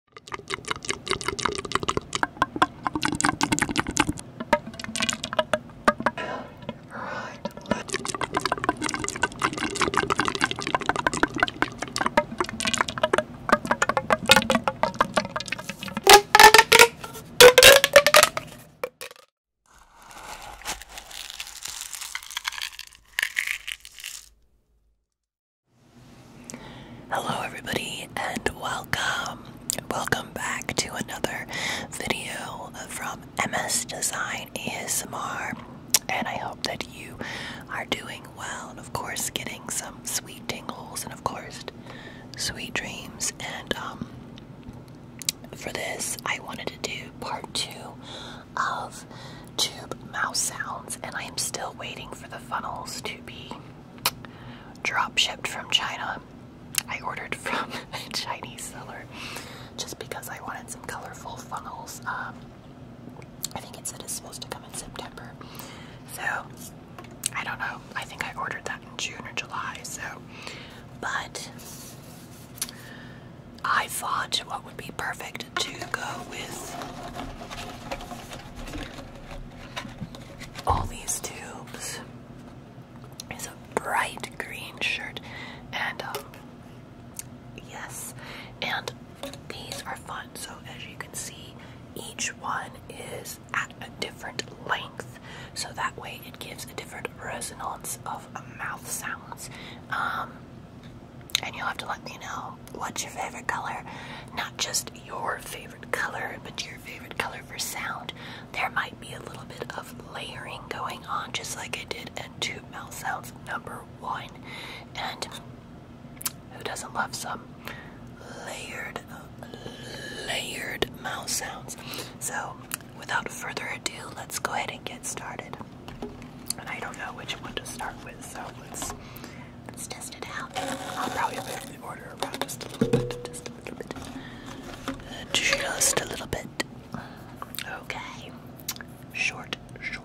Right, let's Hello, everybody, and welcome. Welcome back to another video from MS Design ASMR. And I hope that you are doing well, and of course, getting some sweet tingles, and of course, sweet dreams. And um, for this, I wanted to do part two of tube mouse sounds, and I am still waiting for the funnels to be drop shipped from China. I ordered from a Chinese seller just because I wanted some colorful funnels. Um, I think it said it's supposed to come in September. So, I don't know. I think I ordered that in June or July. So, but I thought what would be perfect to go with all these tubes is a bright green shirt, and um, yes, and these are fun. So as you can see, each one is at a different length, so that way it gives a different resonance of uh, mouth sounds. Um, and you'll have to let me know what's your favorite color? Not just your favorite color, but your favorite color for sound. There might be a little bit of layering going on, just like I did in two Mouth Sounds number one. And who doesn't love some layered, layered mouth sounds? So, without further ado, let's go ahead and get started. And I don't know which one to start with, so let's Let's test it out. I'll probably order Just a little bit. Just a little bit. Okay. Short, short.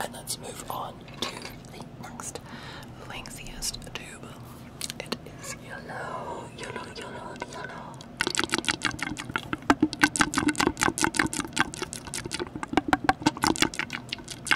And let's move on to the next lengthiest tube. It is yellow, yellow, yellow, yellow.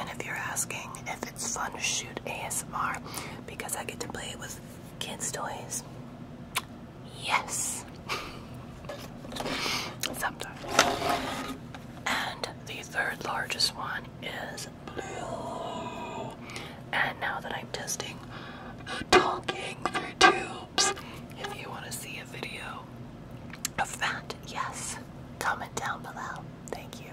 And if you're asking if it's fun to shoot ASMR because I get to play with kids' toys, yes. Sometimes. And the third largest one is blue. And now that I'm testing talking tubes, if you want to see a video of that, yes, comment down below. Thank you.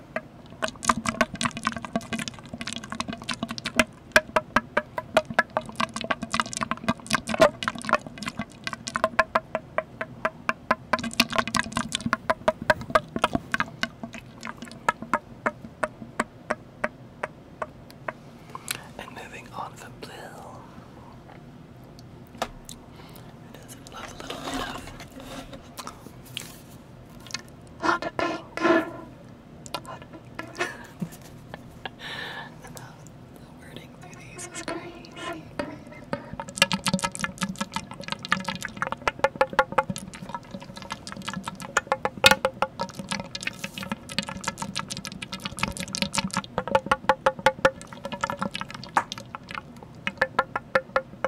And moving on from blue, it doesn't love a little bit of hot pink. Hot pink. the, the wording through these is crazy. crazy.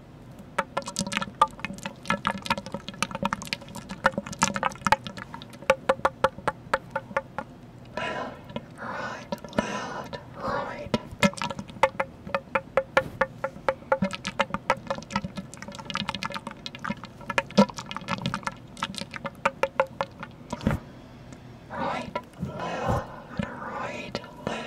Right, left, right. Right, left, right, left.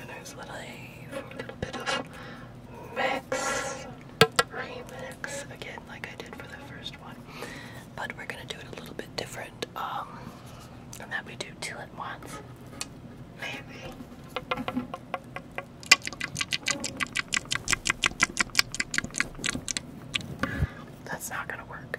And there's Lily for a little bit of mix, remix, again, like I did for the first one. But we're gonna do it a little bit different. Um, and that we do two at once, maybe. That's not gonna work.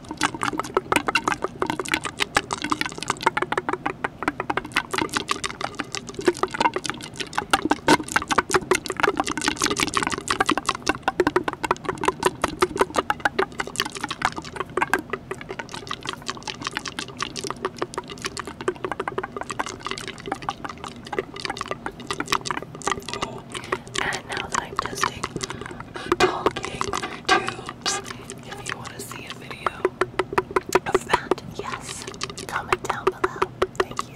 And now I'm testing talking to if you want to see a video of that, yes, comment down below. Thank you.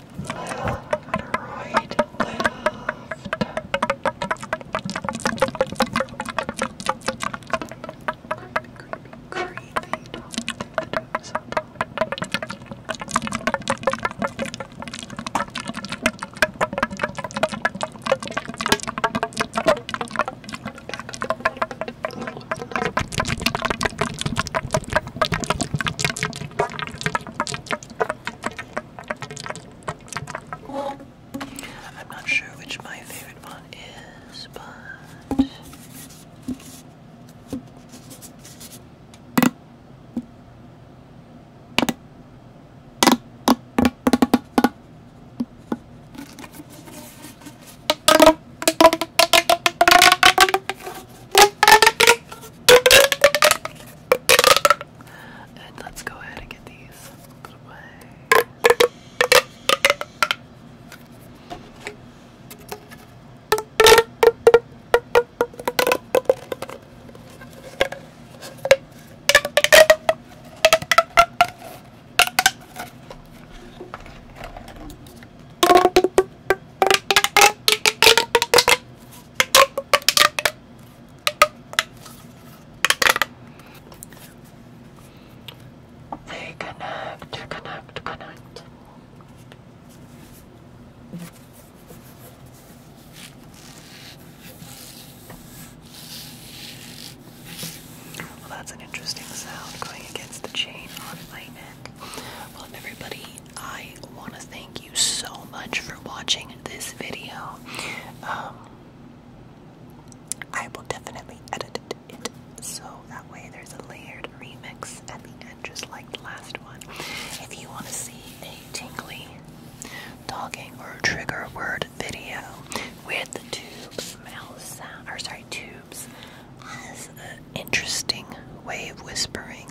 right, left. Creepy, creepy, don't so Back up a little bit, a little bit, a little I'm not sure which my favorite one is, but. And let's go ahead and get these put away. They connect, connect, connect. Well, that's an interesting sound going against the chain on my neck. Well, everybody I want to thank you so much for watching this video. Um, I will definitely edit it so that way there's a layered remix at the end, just like the last one. If you want to see a tingly talking or trigger word video with two mouse or sorry, two tubes an interesting way of whispering.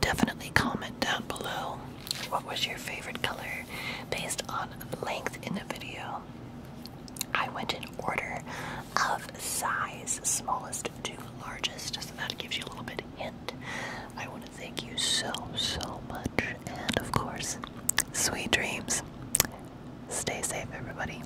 Definitely comment down below what was your favorite color based on length in the video. I went in order of size, smallest to largest, so that gives you a little bit of hint. I want to thank you so, so much, and of course, sweet dreams. Stay safe, everybody.